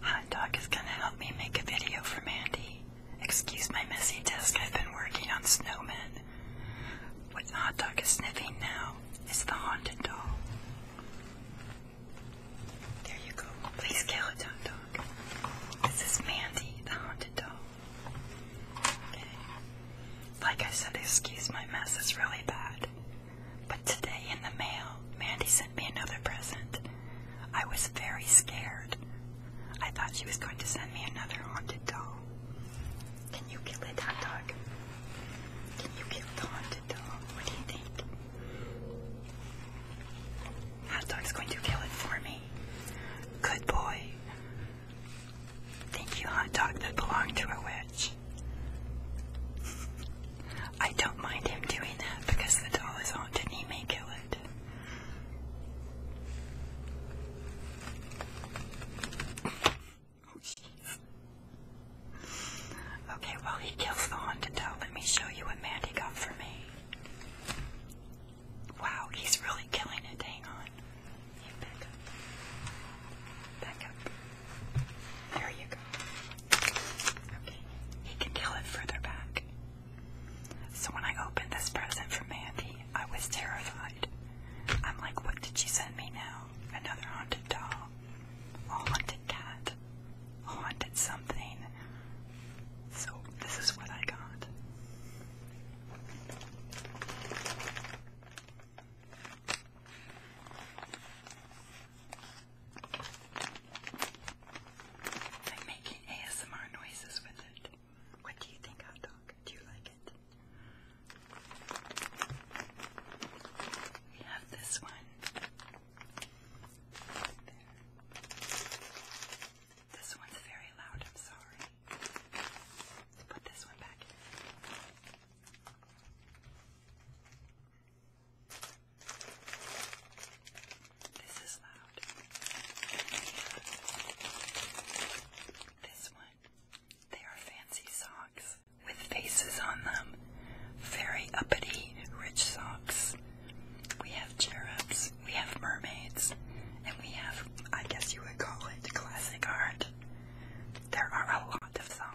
Hot Dog is gonna help me make a video for Mandy. Excuse my messy desk, I've been working on snowmen. What Hot Dog is sniffing now is the haunted doll. There you go. Please kill it, Hot Dog. This is Mandy, the haunted doll. Okay. Like I said, excuse my mess, it's really bad. But today in the mail, Mandy sent me another present. I was very scared. I thought she was going to send me another haunted doll. Can you kill it, hot dog? Can you kill the haunted doll? What do you think? Hot dog's going to kill it for me. Good boy. Thank you, hot dog that belonged to a witch. I don't mind him doing that because the doll is haunted and he may kill it. Oh, jeez. Okay, while he kills the haunted doll, let me show you what Mandy got for me. Wow, he's really killing it. Hang on. Back up. There you go. Okay. He can kill it further back. So when I opened this present from Mandy, I was terrified. I'm like, what did she send me now? Another haunted doll. A haunted cat. A haunted something. So this is what I got. It's like making ASMR noises with it. What do you think, Dog? Do you like it? We have this one. This one's very loud, I'm sorry. put this one back this is loud. This one. They are fancy socks with faces on them. Very uppity, rich socks. We have cherubs, we have mermaids, and we have, I guess you would call it, classic art. There are a lot of socks.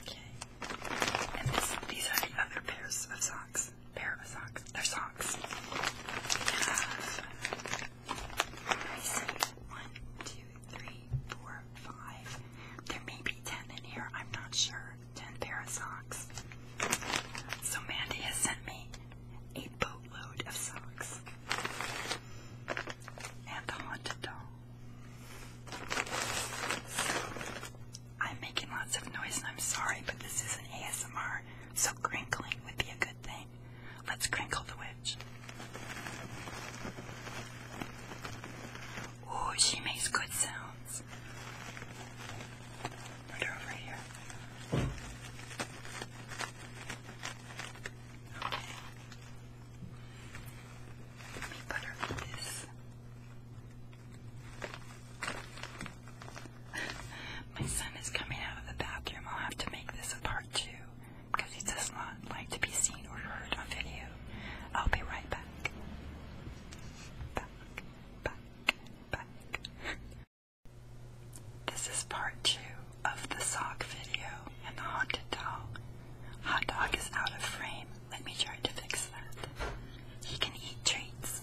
Okay. And these are the other pairs of socks. Pair of socks. They're socks. Uh, one, two, three, four, five. There may be ten in here. I'm not sure. Ten pair of socks. So Mandy has sent me a boatload of socks and the haunted doll. I'm making lots of noise and I'm sorry, but this is an ASMR, so crinkling would be a good thing. Let's crinkle the witch. Oh, she makes good sounds. Put her over here. Let me butter this. My son is coming out of the bathroom. I'll have to make this a part two because he does not like to be seen or heard on video. I'll be right back. Back, back, back. This is part two of the sock video and the haunted doll. Hot dog is out of frame. Let me try to fix that. He can eat treats.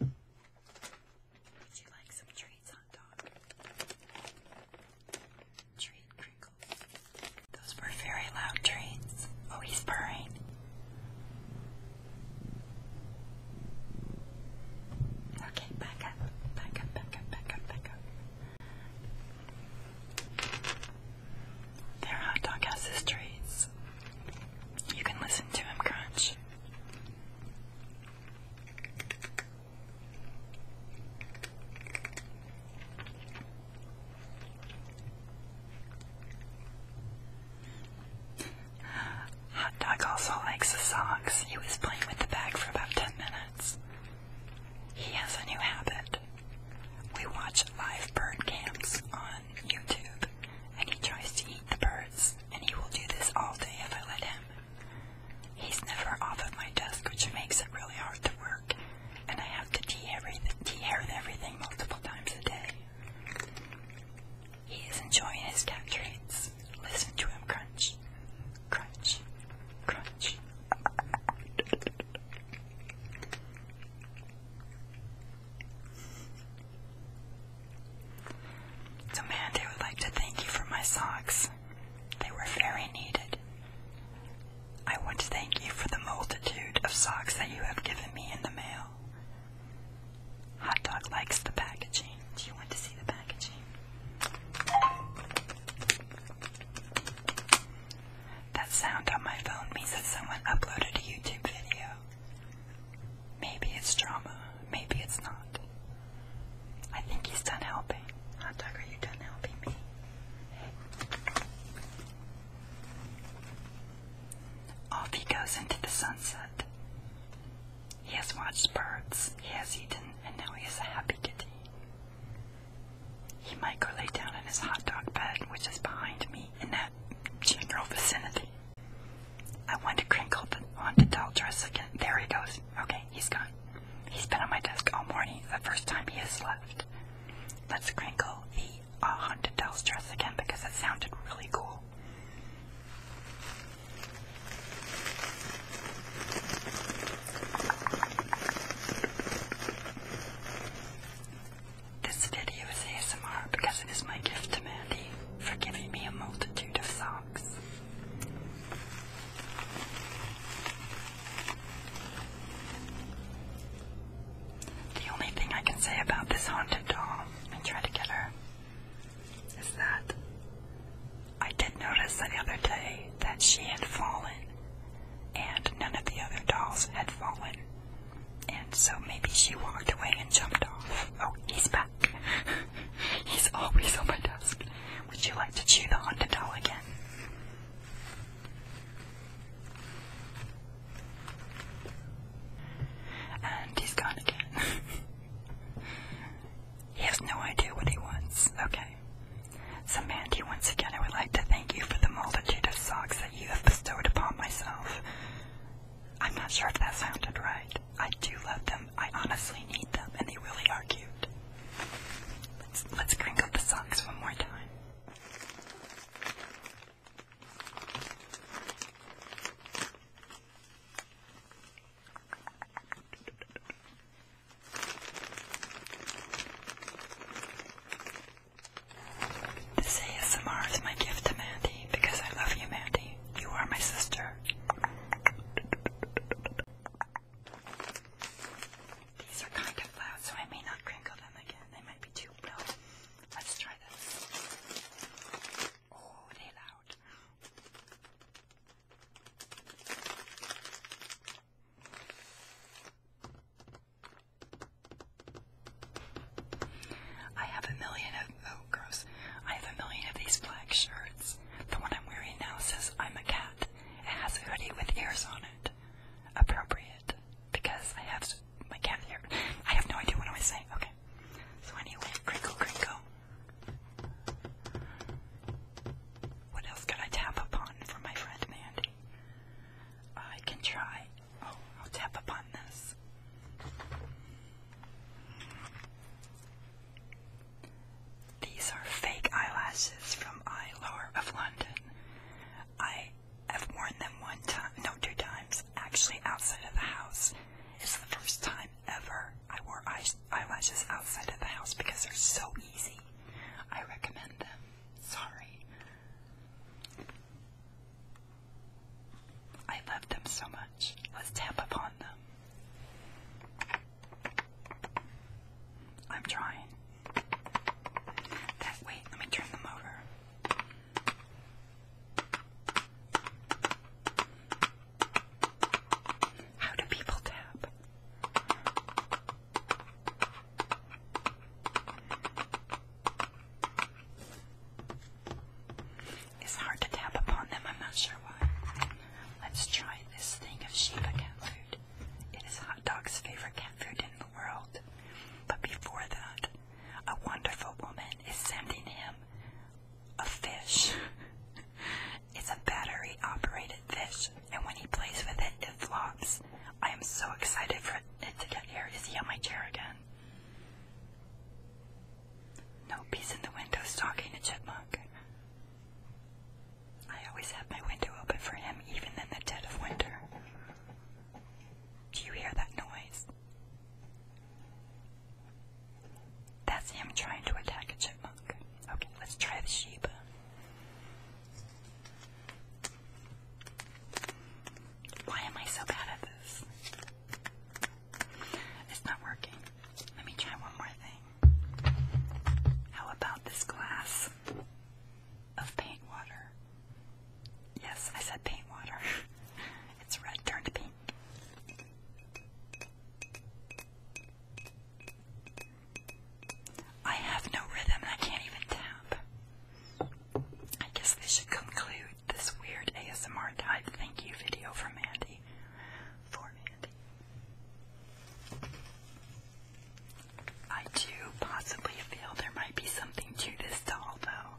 Would you like some treats, hot dog? Treat crinkles. Those were very loud treats. Oh, he's purring. Okay, back up, back up, back up, back up, back up. Their hot dog has his treats. You can listen to him crunch. Hot Dog also likes the socks. He was playing with the bag for about 10 minutes. He has a new habit. We watch live bird camps on YouTube, and he tries to eat the birds, and he will do this all day if I let him. He's never off of my desk, which makes it really hard to work, and I have to de-hair everything multiple times a day. He is enjoying his cat treats. Listen to him crunch, crunch, crunch. So, Mandy would like to thank you for my socks. They were very needed. I want to thank you for the multitude of socks that you have given me in the mail. Hot Dog likes the packaging. Do you want to see the packaging? That sound on my phone means that someone uploaded a YouTube video. Maybe it's drama, maybe it's not. I think he's done helping. Hot Dog, are you done helping me? Off he goes into the sunset. He has watched birds, he has eaten, and now he is a happy kitty. He might go lay down in his hot dog bed, which is behind me in that general vicinity. I want to crinkle the on the doll dress again. There he goes. Okay, he's gone. He's been on my desk all morning, the first time he has left. Let's crinkle the i a haunted doll's dress again because it sounded really cool. This video is ASMR because it is my gift to Mandy for giving me a multitude of socks. The only thing I can say about this haunted doll and try to get her is that I did notice the other day that she had fallen and none of the other dolls had fallen. And so maybe she walked away and jumped off. Oh, he's back. he's always on my desk. Would you like to chew the haunted doll again? And he's gone again. he has no idea what he wants. Okay. So, Mandy, once again, I would like to thank you for the multitude of socks that you have bestowed upon myself. I'm not sure if that sounded right. I do love them. I honestly need them, and they really are cute. Let's, let's crinkle the socks one more time. This ASMR is my gift to Mandy because I love you, Mandy. You are my sister. These are kind of loud, so I may not crinkle them again. They might be too Let's try this. Oh, they loud. I have a million of oh gross. I have a million of these black shirts. The one I'm wearing now says I'm a cat. It has a hoodie with ears on it. Appropriate because I have my cat hair. I have no idea what I was saying. Okay. So anyway, crinkle, crinkle. What else could I tap upon for my friend Mandy? I can try. Oh, I'll tap upon this. These are fake eyelashes from Eye of London. I have worn them one time, no, two times, actually outside of the house. It's the first time ever I wore eyelashes outside of the house because they're so easy. I recommend them. Sorry. I love them so much. Let's tap upon them. I'm trying wait, let me turn them over. How do people tap? It's hard to tap upon them, I'm not sure why. Let's try this thing of sheep Sheba cat food. It is hot dog's favorite cat food in the world. But before that, a wonderful woman is sending him a fish. it's a battery operated fish, and when he plays with it, it flops. I am so excited for it to get here. Is he on my chair again? Nope, he's in the window stalking a chipmunk. I always have my window open for him, even in the dead of winter. Do you hear that noise? That's him trying to attack a chipmunk. Okay, let's try the sheep. Why am I so bad at this? It's not working. Let me try one more thing. How about this glass? of paint water. Yes, I said paint water. it's red turned pink. I have no rhythm I can't even tap. I guess this should conclude this weird ASMR type thank you video from Andy. For Mandy. I do possibly feel there might be something to this doll, though.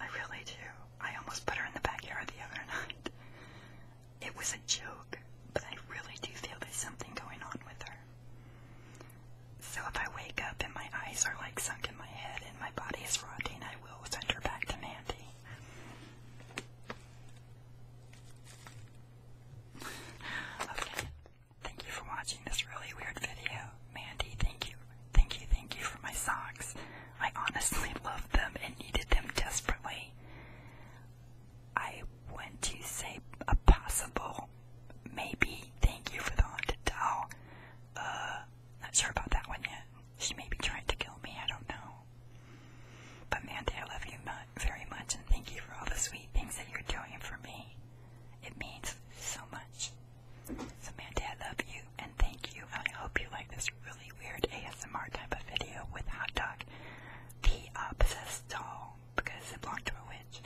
I really do. I almost put her in the backyard the other night. It was a joke, but I really do feel there's something going on with her. So if I wake up and my eyes are like sunk in my head and my body is rotting, I will send her back to Mandy. okay. Thank you for watching this really weird video. Mandy, thank you. Thank you, thank you for my socks. I honestly love them and needed them desperately. I went to say a possible maybe thank you for the haunted doll. Uh, not sure about that one yet. She may be trying to kill me, I don't know. But Mandy, I love you very much and thank you for all the sweet things that you're doing for me. It means so much. So Mandy, I love you and thank you. I hope you like this really weird ASMR type of video with Hot Dog, the opposite doll, because it belonged to a witch,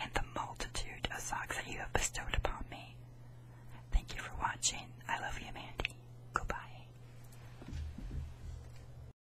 and the multitude of socks that you have bestowed upon me. Thank you for watching. I love you, Mandy. Goodbye.